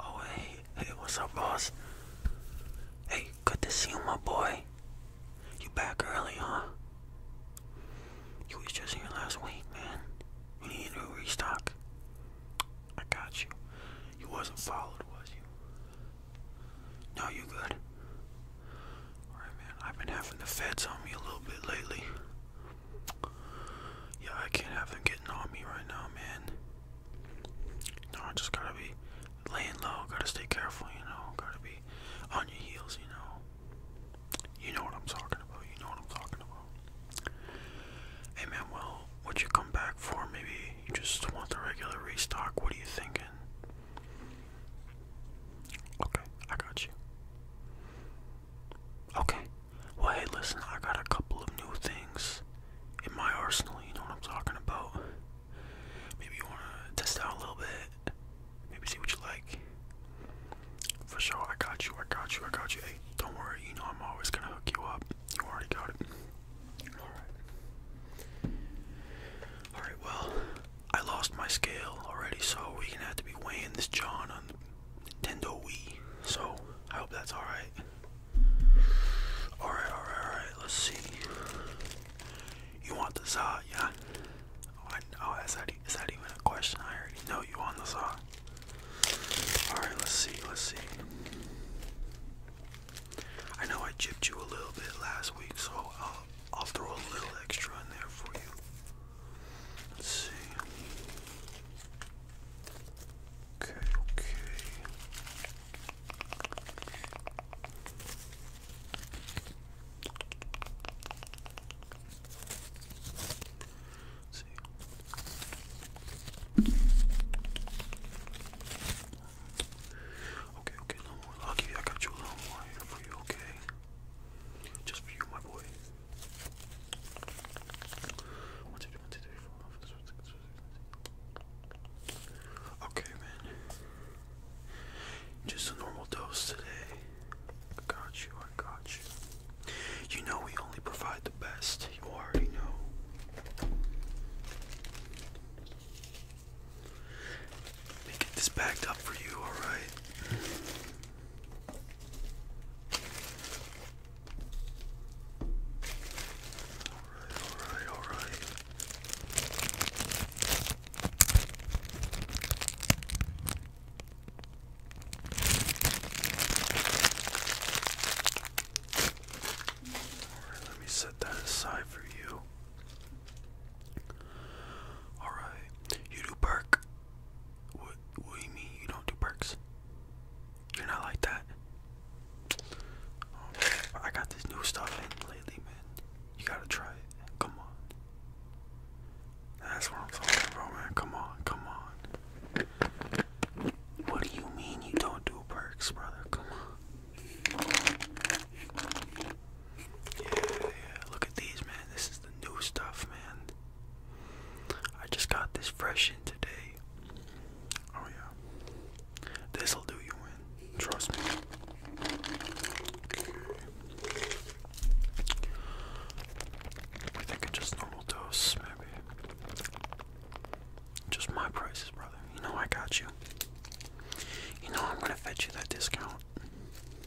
Oh hey, hey, what's up, boss? Hey, good to see you, my boy. You back early, huh? You was just here last week, man. You need a new restock. I got you. You wasn't followed, was you? No, you good. Alright, man. I've been having the feds on me a little bit lately. Yeah, I can't have them getting on me right now, man. No, I just gotta be laying low, gotta stay careful, you know, gotta be on your heels, you know. You know what I'm talking about, you know what I'm talking about. Hey man, well, what you come back for? Maybe you just want the regular restock, what are you thinking? Okay, I got you. Okay, well, hey, listen, I got a couple of new things in my arsenal, you know what I'm talking about. Maybe you want to test out a little bit, maybe see what you like. For sure, I got you, I got you, I got you. Hey, don't worry, you know I'm always going to hook you up. You already got it. Alright. Alright, well, I lost my scale already, so we're going to have to be weighing this John on Nintendo Wii. So I hope that's alright. Alright, alright, alright. Let's see. You want the saw, yeah? Oh, oh, is, that, is that even a question? I already know you want the saw. Alright, let's see, let's see. I know I gypped you a little bit last week, so I'll throw a little extra in there for you. Let's see. Okay, okay. see. Okay, okay, no more. i I got you a more for you, okay? Just for you, my boy. Okay, man. Just a normal dose today. I got you, I got you. You know we only provide the best. You already know. Let get this backed up for you, alright? Alright, alright, alright. Alright, let me set that aside for you. Alright, you do perk. What, what do you mean you don't do perks? You're not like that. Oh, I got this new stuff lately, man. You gotta try it. Come on. That's what I'm talking about, man. Come on, come on. What do you mean you don't do perks, brother? Come on. Yeah, yeah. Look at these, man. This is the new stuff, man. I just got this fresh in today. Oh yeah. This'll do you in. Trust me. I think it's just normal dose, maybe. Just my prices, brother. You know I got you. You know I'm gonna fetch you that discount. Okay. Okay.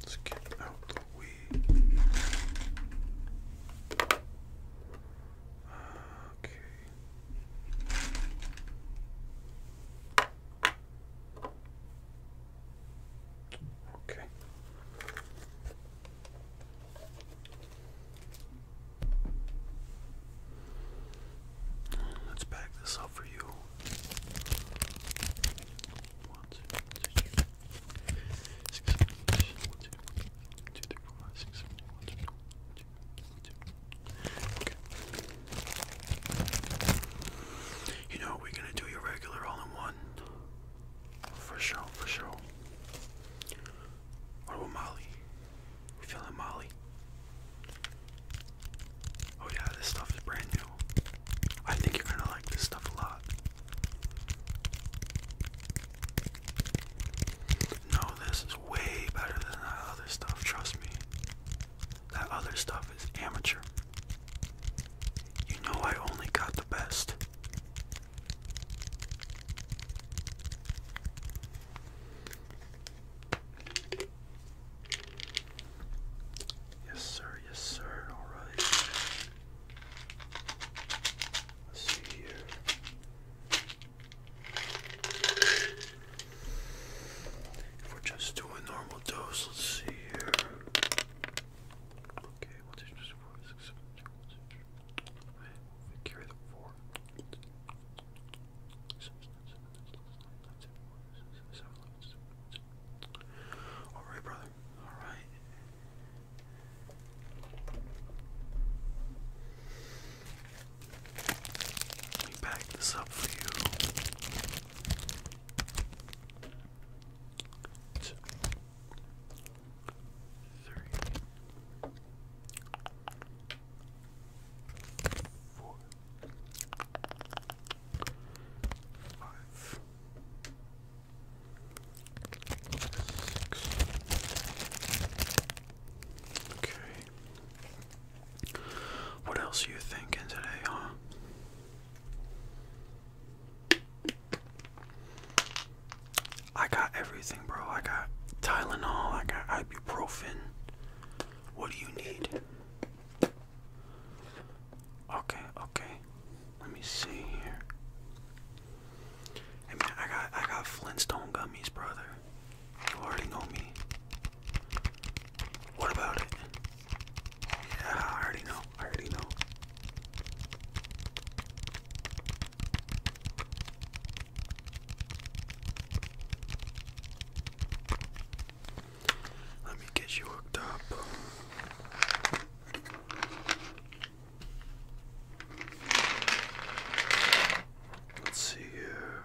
Let's get out the weed. Okay. Okay. Let's back this up for you. One, two, three, six, seven, eight, one, two, two, three, four, five, six, seven, eight, one, two, two, two, You know what we're gonna do? Your regular all in one. For sure, for sure. What about Molly? We feeling Molly? Oh yeah, this stuff is brand new. I think you're gonna like this stuff a lot. No, this is way better than that other stuff, trust me. That other stuff is amateur. You know I only got the best. Yes, sir. Yes, sir. All right. Let's see here. If we're just doing normal dose, let's see here. Okay, voltage is 4, carry the 4. Alright, brother. Alright. Let me pack this up for you two, three, four, five, six. Okay. What else are you thinking today, huh? I got everything, bro. I got Tylenol, I got ibuprofen. What do you need? Okay, okay. Let me see here. Hey man, I got I got Flintstone gummies, brother. You already know me. What about it? Yeah, I already know. I already know. Let me get you hooked up. Let's see here.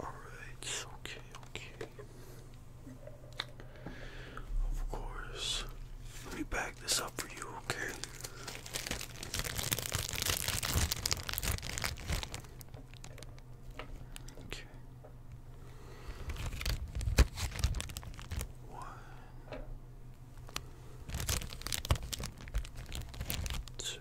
Alright, okay, okay. Of course. Let me back this up for you, okay? Okay. One, two, three, four, five. Six,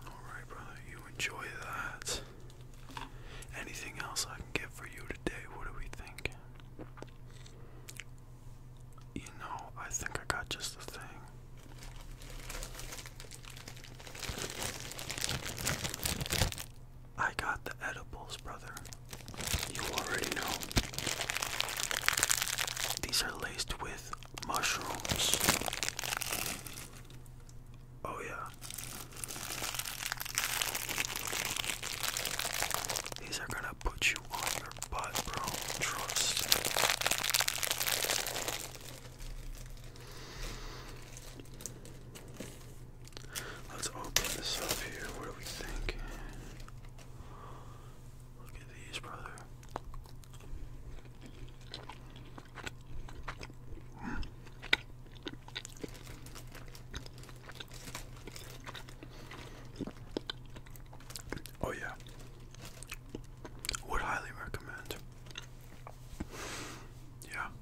Alright, brother, you enjoy that. Anything else I can get for you today? What do we think? You know, I think I got just the thing. I got the edibles, brother. You already know. These are laced with mushrooms. Oh, yeah. These are gonna put you on your butt, bro. Trust. Let's open this up here. What do we think? Look at these, brother. Oh yeah. Would highly recommend. Yeah.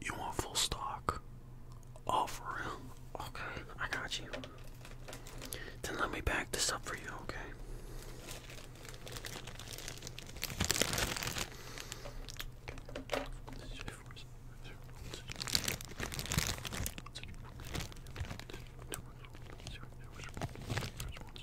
You want full stock? Oh, for real? Okay, I got you. Then let me back this up for you, okay?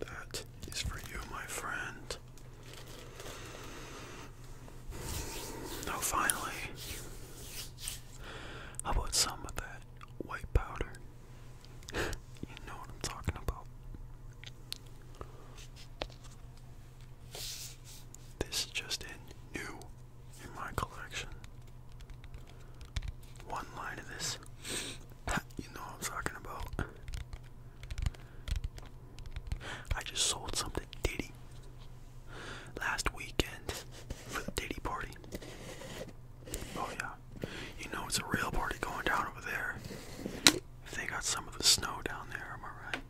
That is for you, my friend. Now, finally, how about some of that white powder? you know what I'm talking about. This is just in new in my collection. One line of this. you know I'm talking about. I just sold something Diddy last weekend for the Diddy party. Oh yeah. You know it's a real party going down over there. they got some of the snow down there, am I right?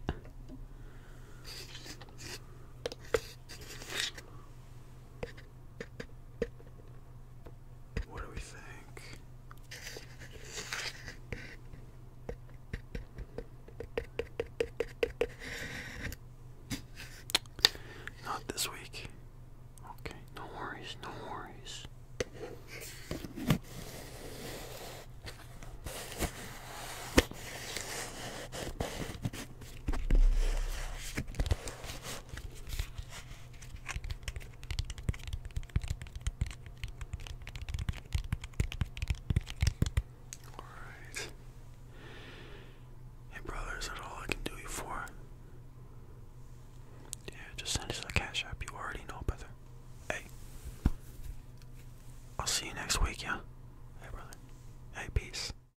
What do we think? Not this week. Okay, no worries, no worries. All right. Hey, brother, is that all I can do you for? Yeah, just send us the cash app. You already know, brother. Hey, I'll see you next week, yeah? Hey, brother. Hey, peace.